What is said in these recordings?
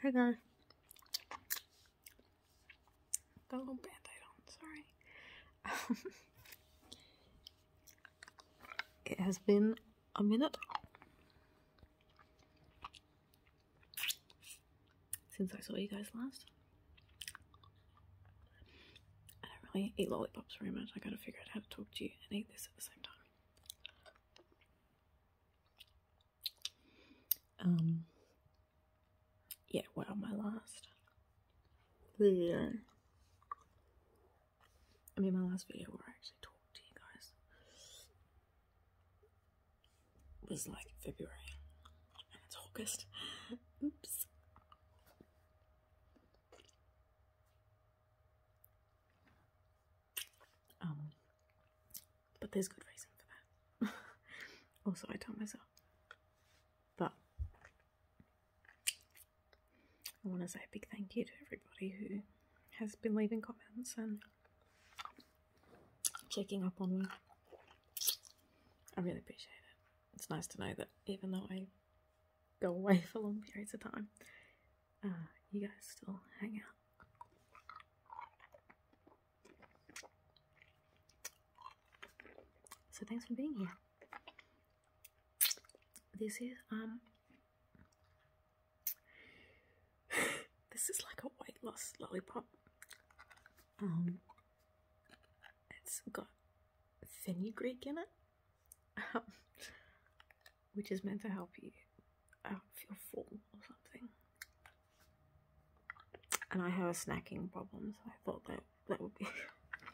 Hey guys. Got a little band on, sorry. it has been a minute since I saw you guys last. I don't really eat lollipops very much. I gotta figure out how to talk to you and eat this at the same time. Um, yeah, what am I last video? I mean, my last video where I actually talked to you guys was like February, and it's August. Oops. Um, but there's good reason for that. also, I taught myself. But I want to say a big thank you to everybody who has been leaving comments and checking up on me. I really appreciate it. It's nice to know that even though I go away for long periods of time, uh, you guys still hang out. So thanks for being here. This is um this is like a weight loss lollipop. Um it's got fenugreek in it. Um, which is meant to help you uh, feel full or something. And I have a snacking problem, so I thought that that would be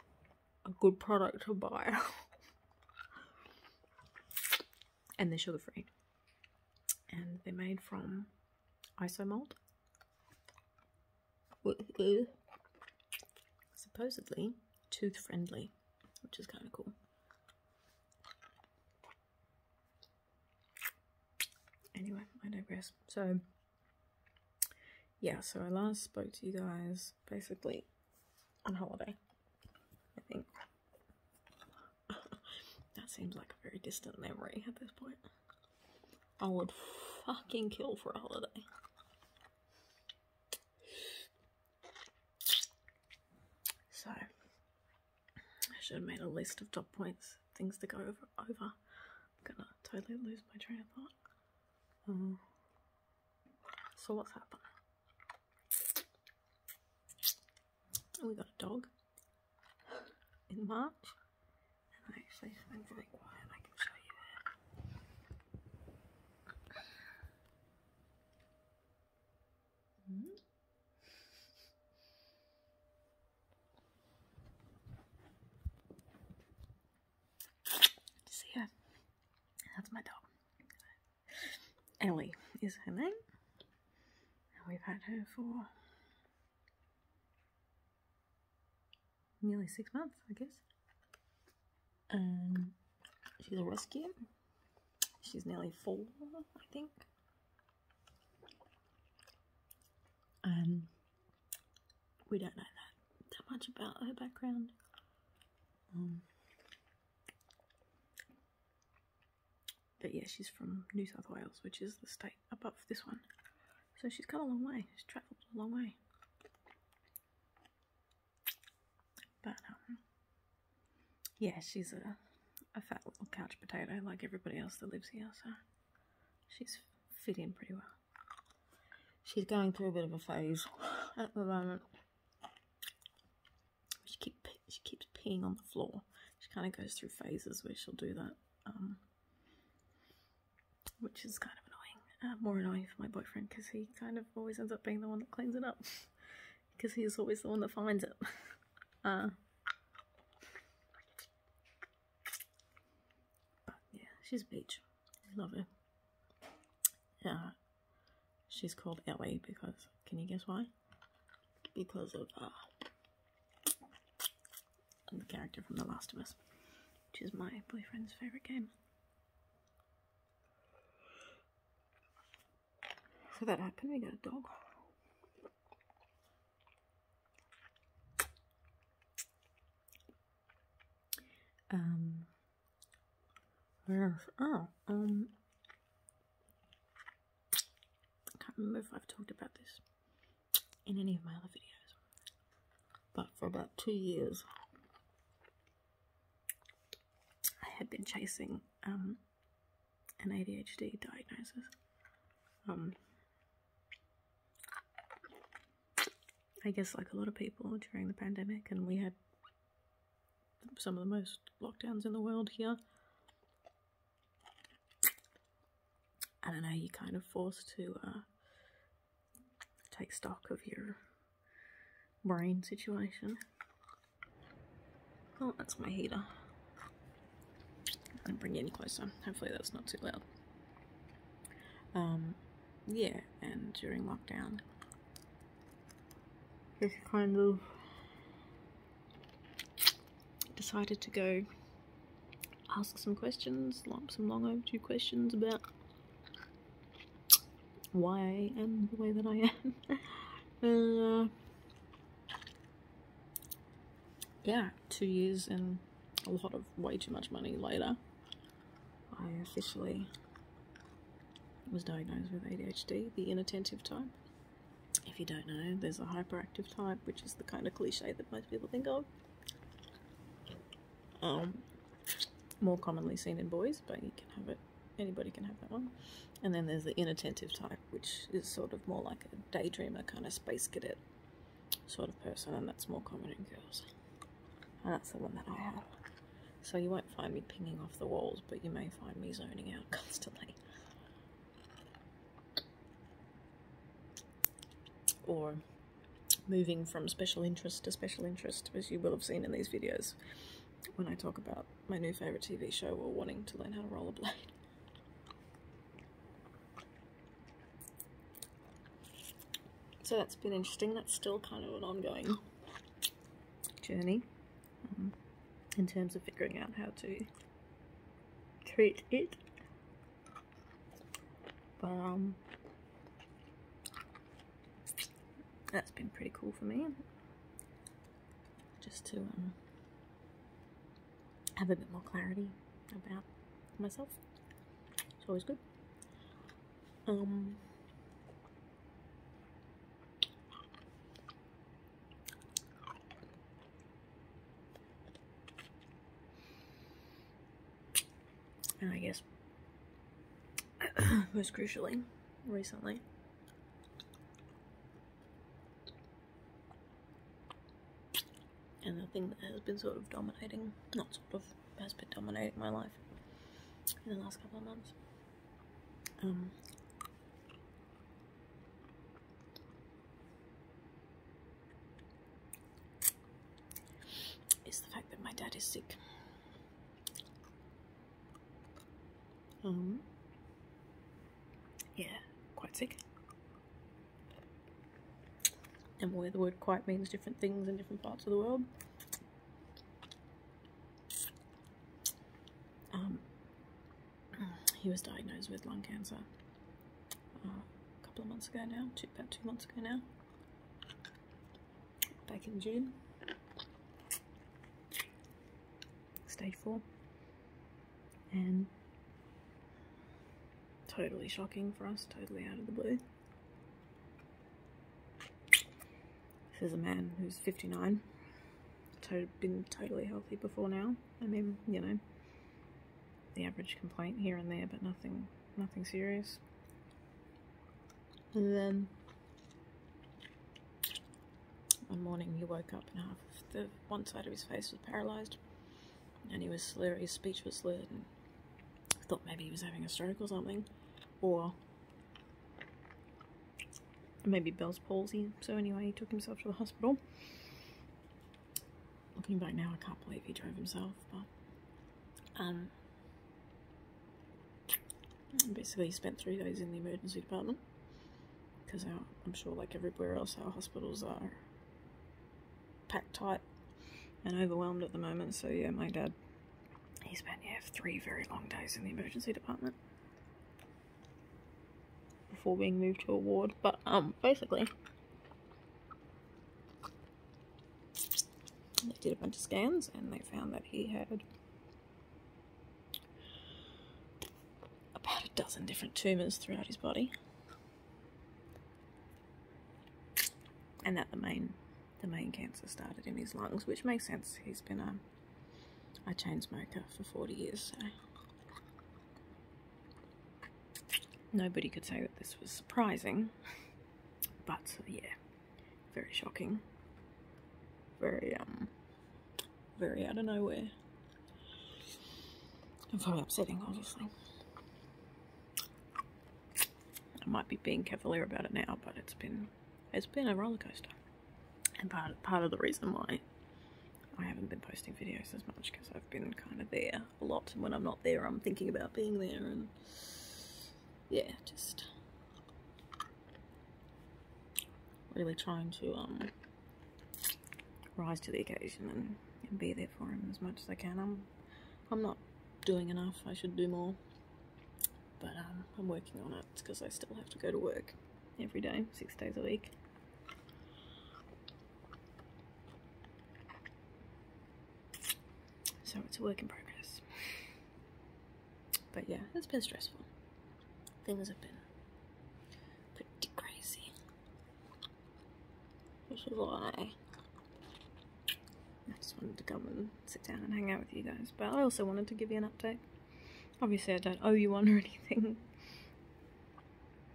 a good product to buy. and they're sugar free. And they're made from isomalt, uh, Supposedly, tooth friendly, which is kind of cool. Anyway, I digress. So, yeah, so I last spoke to you guys basically on holiday, I think. that seems like a very distant memory at this point. I would fucking kill for a holiday. So I should have made a list of top points, things to go over. over. I'm gonna totally lose my train of thought. Um, so what's happened? We got a dog in March, and I actually i very quiet. I can show you Mm-hmm. See her? That's my dog. Ellie is her name. And we've had her for nearly six months, I guess. And she's a rescue. She's nearly four, I think. And we don't know that, that much about her background. Um, but yeah, she's from New South Wales, which is the state above this one. So she's come a long way. She's travelled a long way. But um, yeah, she's a a fat little couch potato like everybody else that lives here, so she's fitting in pretty well. She's going through a bit of a phase at the moment. She keep she keeps peeing on the floor. She kind of goes through phases where she'll do that, um, which is kind of annoying. Uh, more annoying for my boyfriend because he kind of always ends up being the one that cleans it up because he's always the one that finds it. Uh. but yeah, she's a peach. I love her. Yeah, she's called Ellie because can you guess why? Because of uh, the character from The Last of Us, which is my boyfriend's favorite game. So that happened, we got a dog. Um, Oh, um, I can't remember if I've talked about this in any of my other videos, but for about two years, I had been chasing um, an ADHD diagnosis. Um, I guess, like a lot of people during the pandemic, and we had some of the most lockdowns in the world here. I don't know, you're kind of forced to uh, take stock of your brain situation. Oh, that's my heater. I'm bring it in closer. Hopefully that's not too loud. Um, yeah, and during lockdown, just kind of decided to go ask some questions, some long overdue questions about why I am the way that I am. Uh, yeah, two years and a lot of way too much money later, I officially was diagnosed with ADHD, the inattentive type. If you don't know, there's a hyperactive type, which is the kind of cliche that most people think of um, more commonly seen in boys, but you can have it, anybody can have that one. And then there's the inattentive type, which is sort of more like a daydreamer kind of space cadet sort of person, and that's more common in girls. And that's the one that I have. So you won't find me pinging off the walls, but you may find me zoning out constantly or moving from special interest to special interest, as you will have seen in these videos when I talk about my new favourite TV show or wanting to learn how to rollerblade. So that's been interesting. That's still kind of an ongoing journey um, in terms of figuring out how to treat it but, um, that's been pretty cool for me. Just to, um, have a bit more clarity about myself. It's always good. Um, and I guess most crucially recently. And the thing that has been sort of dominating, not sort of, has been dominating my life in the last couple of months. Um, it's the fact that my dad is sick. Um, yeah, quite sick. And where the word quite means different things in different parts of the world. Um, he was diagnosed with lung cancer uh, a couple of months ago now, about two months ago now back in June. Stage four. And totally shocking for us, totally out of the blue. This is a man who's 59, totally been totally healthy before now. I mean, you know, the average complaint here and there, but nothing nothing serious. And then one morning he woke up and half the one side of his face was paralysed and he was slurred, his speech was slurred and I thought maybe he was having a stroke or something or maybe Bell's palsy. So anyway, he took himself to the hospital looking back now, I can't believe he drove himself, but um, basically, he spent three days in the emergency department because I'm sure, like everywhere else, our hospitals are packed tight and overwhelmed at the moment. So, yeah, my dad he spent yeah, three very long days in the emergency department before being moved to a ward. But um, basically, they did a bunch of scans and they found that he had about a dozen different tumours throughout his body. And that the main the main cancer started in his lungs, which makes sense. He's been a, a chain smoker for 40 years, Nobody could say that this was surprising, but yeah, very shocking. Very, um, very out of nowhere. And very upsetting, obviously. I might be being cavalier about it now, but it's been it's been a roller coaster. And part part of the reason why I haven't been posting videos as much because I've been kind of there a lot. And when I'm not there, I'm thinking about being there. And yeah, just really trying to um, rise to the occasion and, be there for him as much as I can. I'm, I'm not doing enough. I should do more. But um, I'm working on it because I still have to go to work every day, six days a week. So it's a work in progress. But yeah, it's been stressful. Things have been pretty crazy. Which is why I just wanted to come and sit down and hang out with you guys. But I also wanted to give you an update. Obviously I don't owe you one or anything.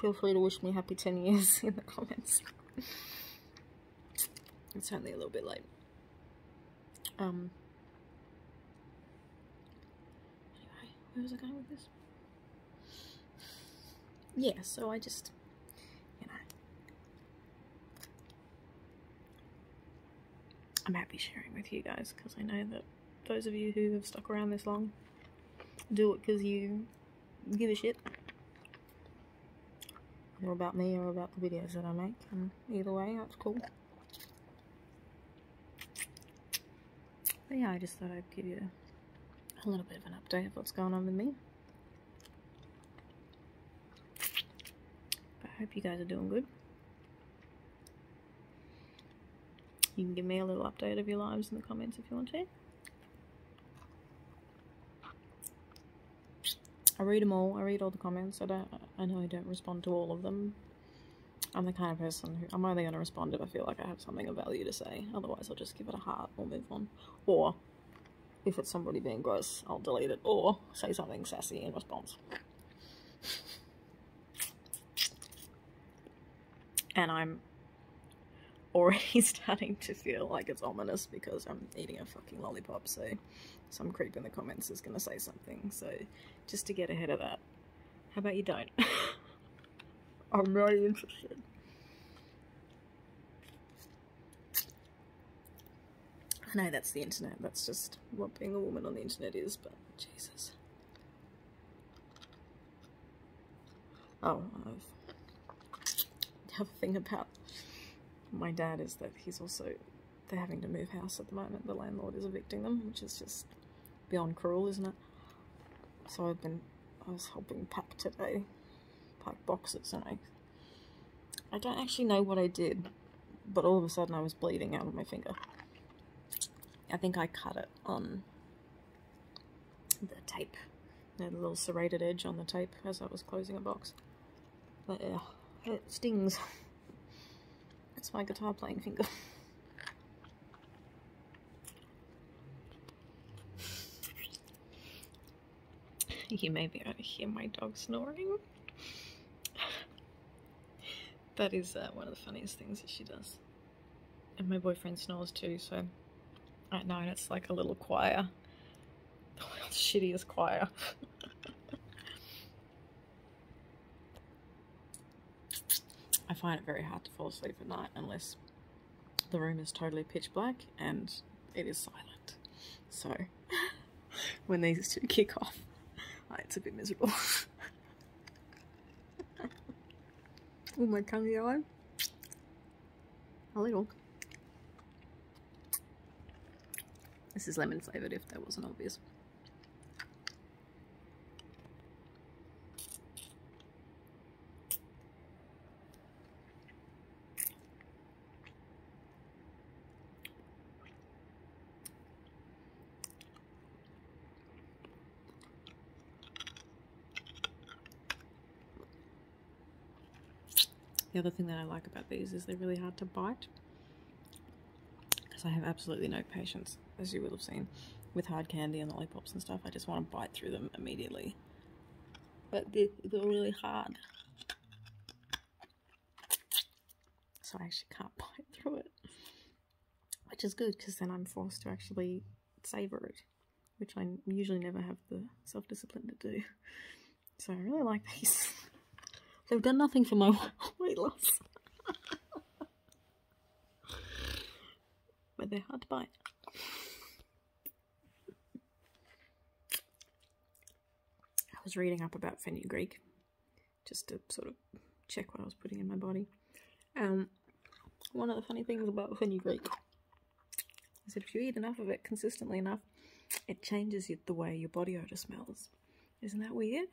Feel free to wish me happy 10 years in the comments. it's only a little bit late. Um, anyway, where was I going with this? Yeah, so I just, you know, I'm happy sharing with you guys because I know that those of you who have stuck around this long do it because you give a shit or about me or about the videos that I make. Um, either way, that's cool. But yeah, I just thought I'd give you a little bit of an update of what's going on with me. But I hope you guys are doing good. You can give me a little update of your lives in the comments if you want to. I read them all. I read all the comments. I don't. I know I don't respond to all of them. I'm the kind of person who I'm only going to respond if I feel like I have something of value to say. Otherwise, I'll just give it a heart or move on. Or if it's somebody being gross, I'll delete it or say something sassy in response and I'm already starting to feel like it's ominous because I'm eating a fucking lollipop, so some creep in the comments is gonna say something, so just to get ahead of that, how about you don't? I'm really interested. I know that's the internet, that's just what being a woman on the internet is, but Jesus. Oh, the other thing about my dad is that he's also, they're having to move house at the moment. The landlord is evicting them, which is just beyond cruel, isn't it? So I've been, I was helping pack today, pack boxes, and I, I don't actually know what I did, but all of a sudden I was bleeding out of my finger. I think I cut it on the tape. You the little serrated edge on the tape as I was closing a box. But yeah, uh, it stings. That's my guitar playing finger. you may be able to hear my dog snoring. That is uh, one of the funniest things she does. And my boyfriend snores too, so at nine it's like a little choir. The shittiest choir. I find it very hard to fall asleep at night unless the room is totally pitch black and it is silent. So when these two kick off, it's a bit miserable oh, my tongue's yellow. A little. This is lemon flavoured if that wasn't obvious. The other thing that I like about these is they're really hard to bite because I have absolutely no patience, as you will have seen, with hard candy and lollipops and stuff. I just want to bite through them immediately. But they're, really hard. So I actually can't bite through it which is good because then I'm forced to actually savor it, which I usually never have the self discipline to do. So I really like these. They've done nothing for my weight loss. but they're hard to bite. I was reading up about fenugreek just to sort of check what I was putting in my body. Um, one of the funny things about fenugreek is that if you eat enough of it consistently enough, it changes the way your body odor smells. Isn't that weird?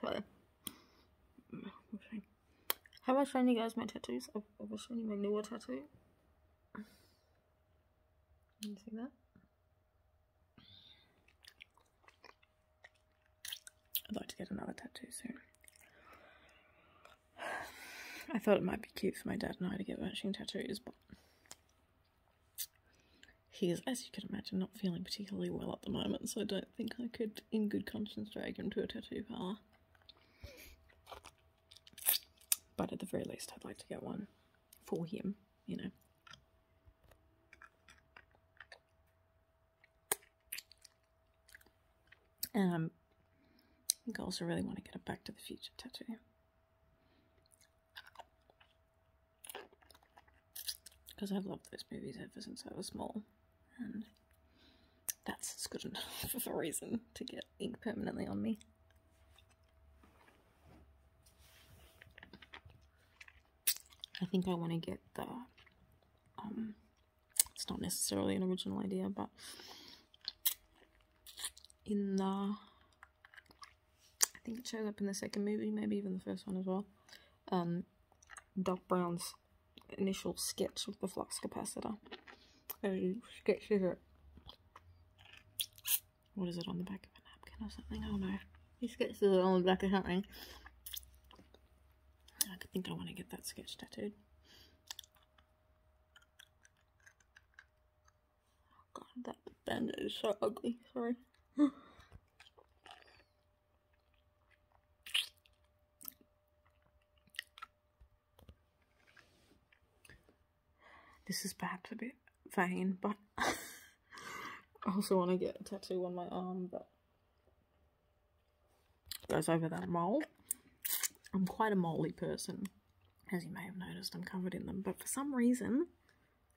so, mm, have I shown you guys my tattoos? I've, I've you my newer tattoo. you see that? I'd like to get another tattoo soon. I thought it might be cute for my dad and I to get matching tattoos, but he is, as you can imagine, not feeling particularly well at the moment, so I don't think I could, in good conscience, drag him to a tattoo parlor. But at the very least, I'd like to get one for him, you know. Um, I also really want to get a Back to the Future tattoo. Because I've loved those movies ever since I was small. And that's good enough of a reason to get ink permanently on me. I think I want to get the, um, it's not necessarily an original idea, but in the, I think it shows up in the second movie, maybe even the first one as well, um, Doc Brown's initial sketch of the flux capacitor. And oh, sketches it what is it on the back of a napkin or something? Oh no, not know. These sketches are on the back of something. I think I want to get that sketch tattooed. Oh god, that bandit is so ugly. Sorry. This is perhaps a bit vain, but I also want to get a tattoo on my arm that goes over that mole. I'm quite a moly person, as you may have noticed. I'm covered in them, but for some reason,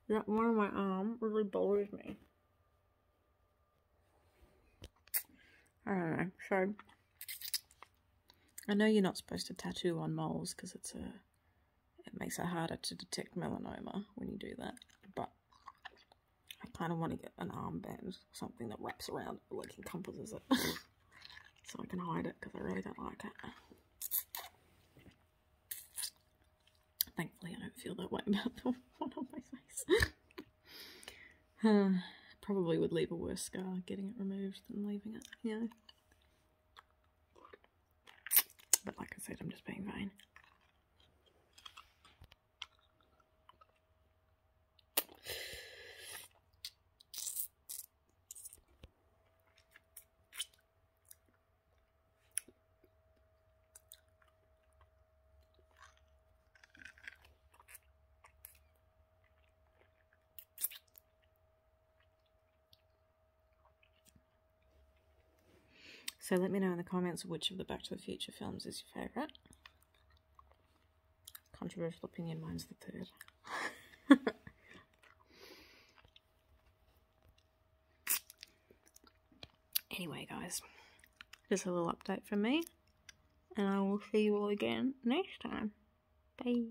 that one on my arm really bothers me. I don't know. So I know you're not supposed to tattoo on moles because it's a it makes it harder to detect melanoma when you do that. But I kind of want to get an armband, something that wraps around, it, like encompasses it, so I can hide it because I really don't like it. Thankfully, I don't feel that way about the one on my face. probably would leave a worse scar getting it removed than leaving it, Yeah. But like I said, I'm just being fine. So let me know in the comments which of the Back to the Future films is your favourite. Controversial opinion, mine's the third. anyway, guys, just a little update from me, and I will see you all again next time. Bye.